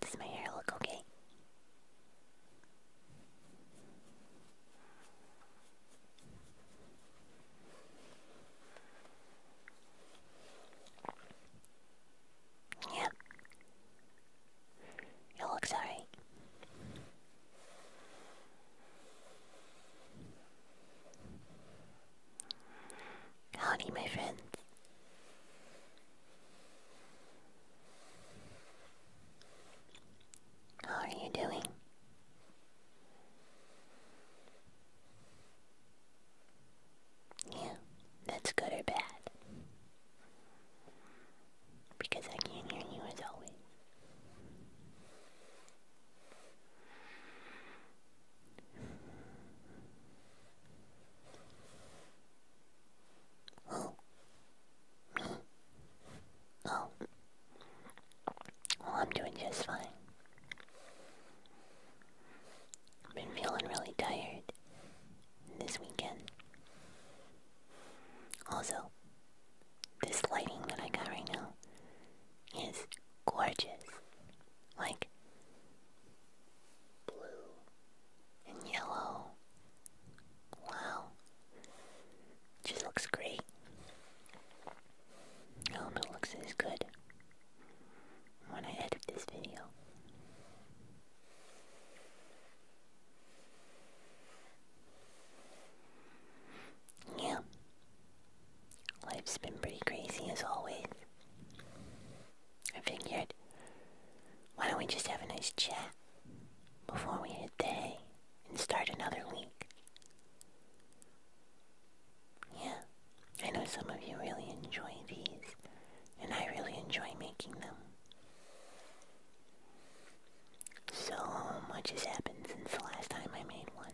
Does my hair look okay? Yeah. It looks alright. Howdy, my friend, How are you doing? Yeah, that's good or bad. Because I can't hear you as always. Oh. Oh. Well, I'm doing just fine. I've been feeling really tired this weekend. Also, this lighting that I got right now is gorgeous. Like, blue and yellow. Wow. Just looks great it looks as good when I edit this video. Yeah. Life's been pretty crazy as always. I figured, why don't we just have a nice chat before we hit day and start another week? Yeah, I know some of you really enjoy these, and I really enjoy making them. So much has happened since the last time I made one.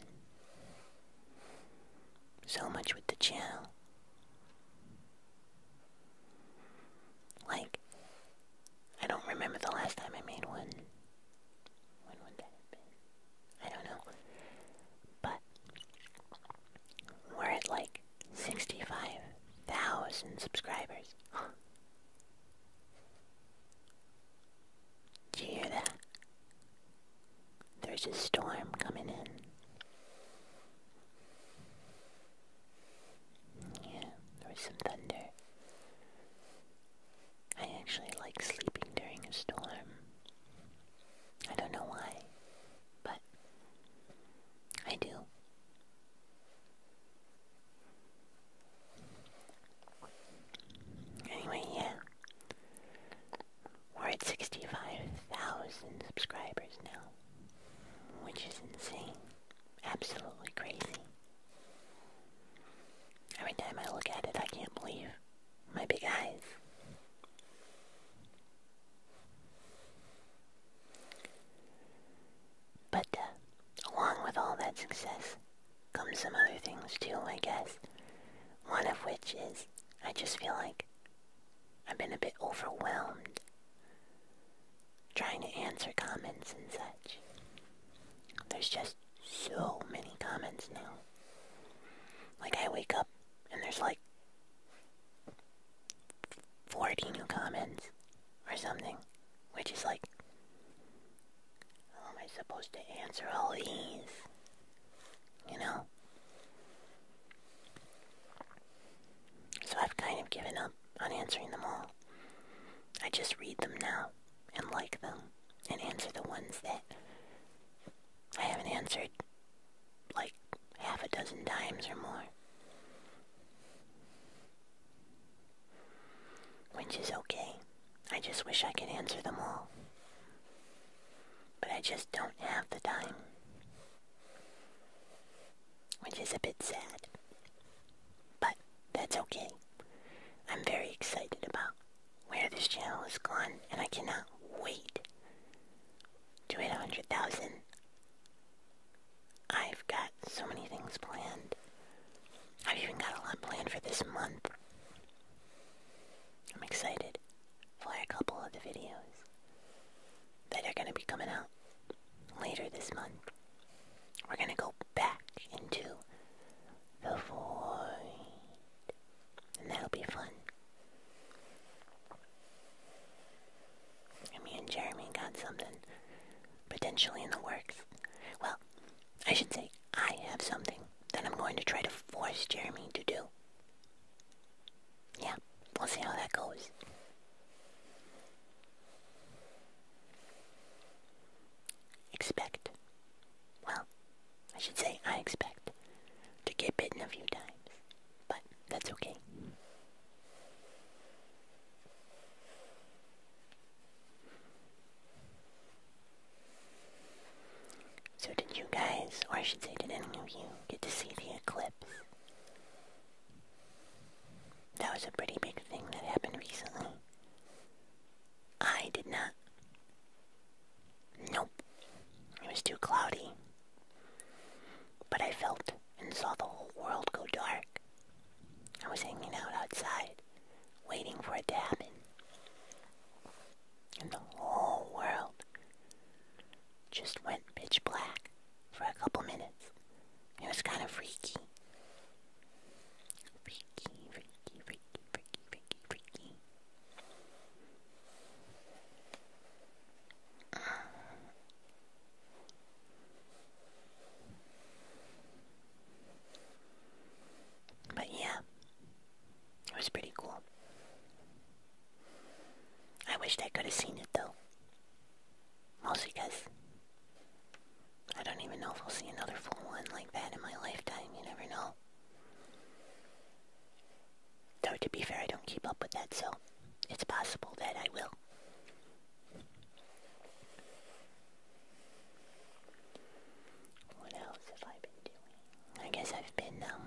So much with the channel. Like, I don't remember the last time I made one. When would that have been? I don't know. But we're at like 65,000 subscribers. Do you hear that? There's a storm coming in. Yeah, there was some thunder. I actually like sleeping during a storm. I don't know why, but I do. Anyway, yeah. We're at 65,000 subscribers now, which is insane. Absolutely crazy. Every time I look at it, I can't believe my big eyes. But uh, along with all that success comes some other things too, I guess. One of which is I just feel like I've been a bit overwhelmed trying to answer comments and such. There's just so many comments now. Like I wake up and there's like 40 new comments or something, which is like, how am I supposed to answer all these? You know? So I've kind of given up on answering them all. I just read them now and like them and answer the ones that I haven't answered like half a dozen times or more. Which is okay. I just wish I could answer them all. But I just don't have the time. Which is a bit sad. But that's okay. I'm very excited about where this channel is gone, and I cannot wait to hit 100,000. I've got so many things planned. I've even got a lot planned for this month. I'm excited for a couple of the videos that are going to be coming out later this month. We're going to go back into the void. And that'll be fun. me and Jeremy got something potentially in the works. Well, I should say, I have something that I'm going to try to force Jeremy to do. Yeah, we'll see how that goes. Expect well, I should say I expect to get bitten a few times, but that's okay. So, did you guys, or I should say, did any of you get to see the eclipse? That was a pretty big thing that happened recently. I did not. Nope. It was too cloudy. But I felt and saw the whole world go dark. I was hanging out outside, waiting for it to happen. And the whole world just went pitch black for a couple minutes. It was kind of freaky. Freaky, freaky, freaky, freaky, freaky, freaky. But yeah, it was pretty cool. I wish I could have seen it though. Mostly because I don't even know if I'll see another full one like that in my lifetime, you never know. to be fair, I don't keep up with that, so it's possible that I will. What else have I been doing? I guess I've been, um,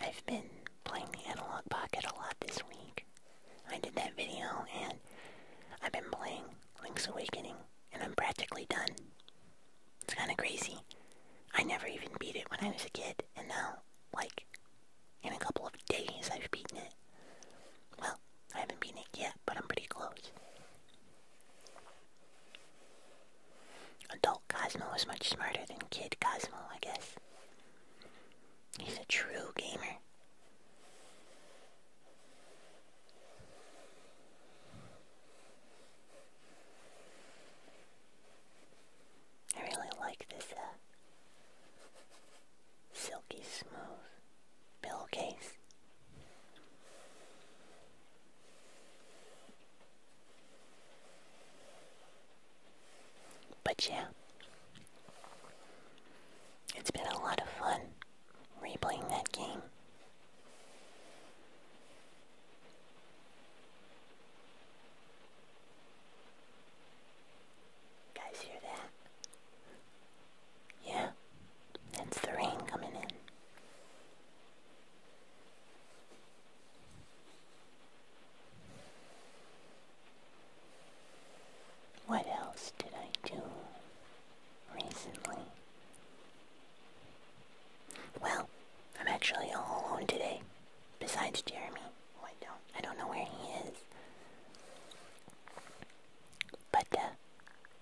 I've been playing the analog pocket a lot this week. I did that video and I've been playing Link's Awakening and I'm practically done. It's kinda crazy. I never even beat it when I was a kid and now, like, in a couple of days I've beaten it. Well, I haven't beaten it yet, but I'm pretty close. Adult Cosmo is much smarter than Kid Cosmo, I guess. He's a true gamer. I really like this uh, silky smooth pillowcase. But yeah, it's been a lot of fun replaying that game. guys hear that? Yeah, that's the rain coming in. What else did I do recently? Well, I'm actually all alone today. Besides Jeremy, who I don't, I don't know where he is. But uh,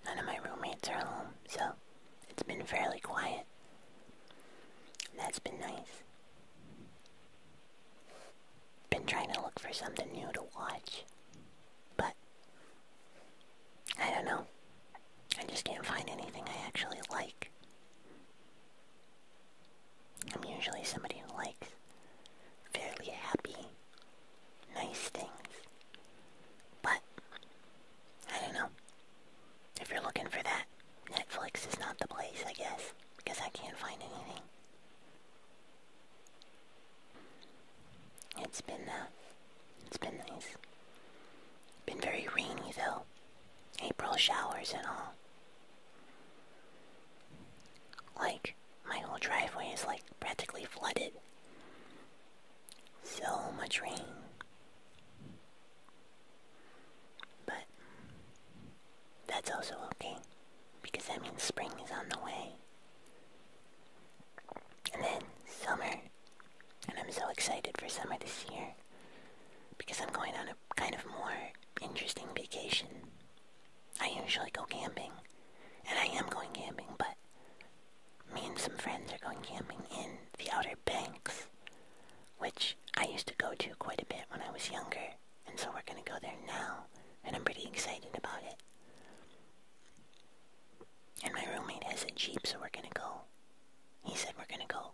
none of my roommates are home, so it's been fairly quiet. That's been nice. Been trying to look for something new to watch, but I don't know. I just can't find anything I actually like. I'm usually somebody who likes fairly happy, nice things. But, I don't know. If you're looking for that, Netflix is not the place, I guess, because I can't find anything. It's been uh, it's been nice. Been very rainy though. April showers and all. Like my whole driveway is like practically flooded. So much rain. But that's also okay, because that means spring is on the way. And then summer. And I'm so excited for summer this year, because I'm going on a kind of more interesting vacation. I usually go camping, and I am going camping, but me and some friends are going camping in the Outer Banks, which I used to go to quite a bit when I was younger. And so we're gonna go there now, and I'm pretty excited about it. And my roommate has a Jeep, so we're gonna go. He said we're gonna go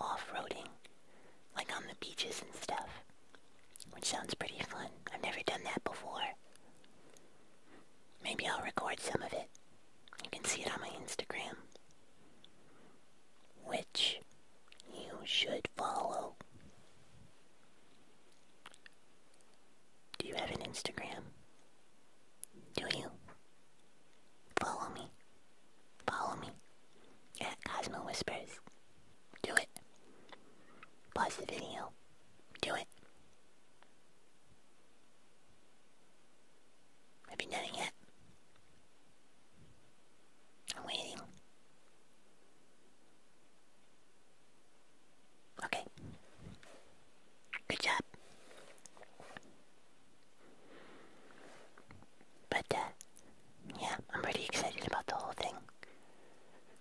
off-roading, like on the beaches and stuff, which sounds pretty fun. I've never done that before. Maybe I'll record some of it. You can see it on my Instagram which you should follow. Do you have an Instagram? Do you? Follow me. Follow me at Cosmo Whispers. Do it. Pause the video. Do it. Have you done it yet? I'm waiting. Okay. Good job. But, uh, yeah, I'm pretty excited about the whole thing.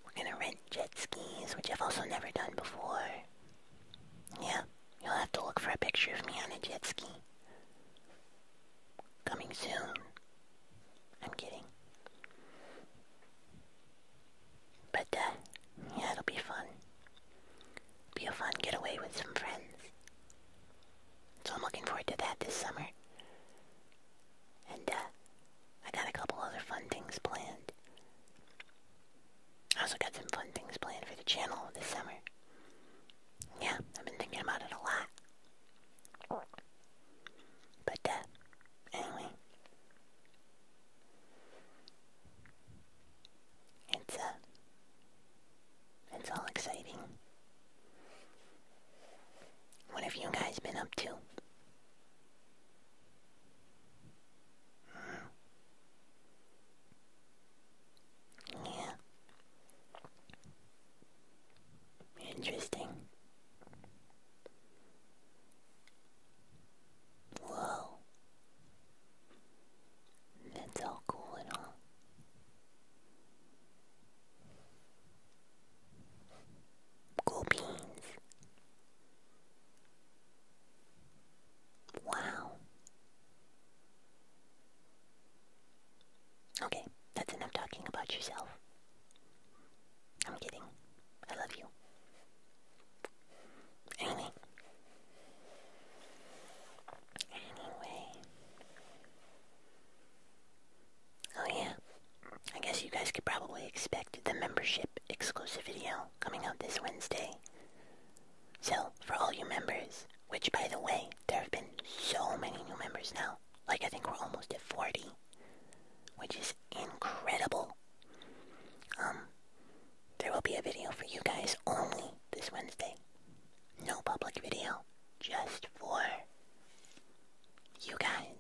We're gonna rent jet skis, which I've also never done before. Yeah, you'll have to look for a picture of me on a jet ski. Coming soon I'm kidding. But uh, yeah, it'll be fun. Be a fun getaway with some friends. So I'm looking forward to that this summer. And uh, I got a couple other fun things planned. I also got some fun things planned for the channel this summer. Yeah, I've been thinking about it a lot. But uh, anyway, it's uh, it's all exciting. What have you guys been up to? Hmm. Yeah. Interesting. Whoa. That's all cool and Cool beans. Wow. Okay, that's enough talking about yourself. I'm kidding. I love you. Anyway. Anyway. Oh yeah. I guess you guys could probably expect the membership exclusive video coming out this Wednesday. So, for all you members, which by the way, there have been so many new members now. Like I think we're almost at 40, which is incredible. Um, there will be a video for you guys only this Wednesday. No public video, just for you guys.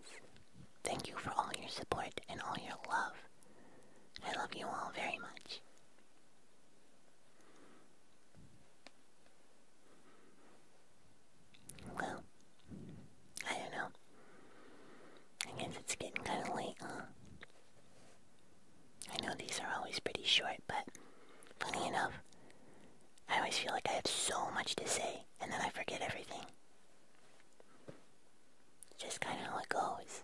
Thank you for all your support and all your love. I love you all very much. Well, I don't know. I guess it's getting kind of late, huh? I know these are always pretty short, but funny enough, I always feel like I have so much to say, and then I forget everything. Just kind of how it goes.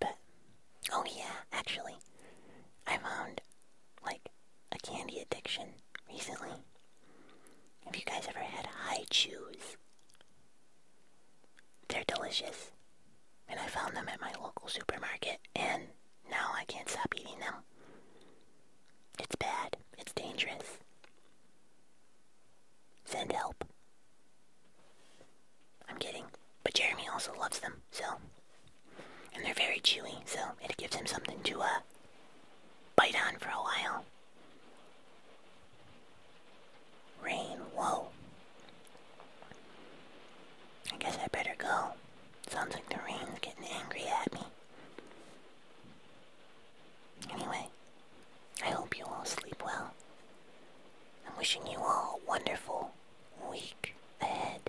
But oh yeah, actually, I found like a candy addiction recently. Have you guys ever had high chews? They're delicious. And I found them at my local supermarket and now I can't stop eating them. It's bad. It's dangerous. Send help. I'm kidding. But Jeremy also loves them, so. And they're very chewy, so it gives him something to, uh, bite on for a while. Rain, whoa. I guess I better go. Sounds like the rain's getting angry at me. Anyway, I hope you all sleep well. I'm wishing you all wonderful, weak ahead.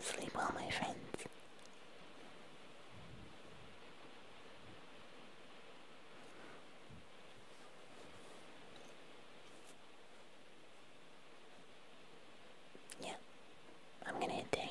Sleep well, my friends. Yeah, I'm gonna hit day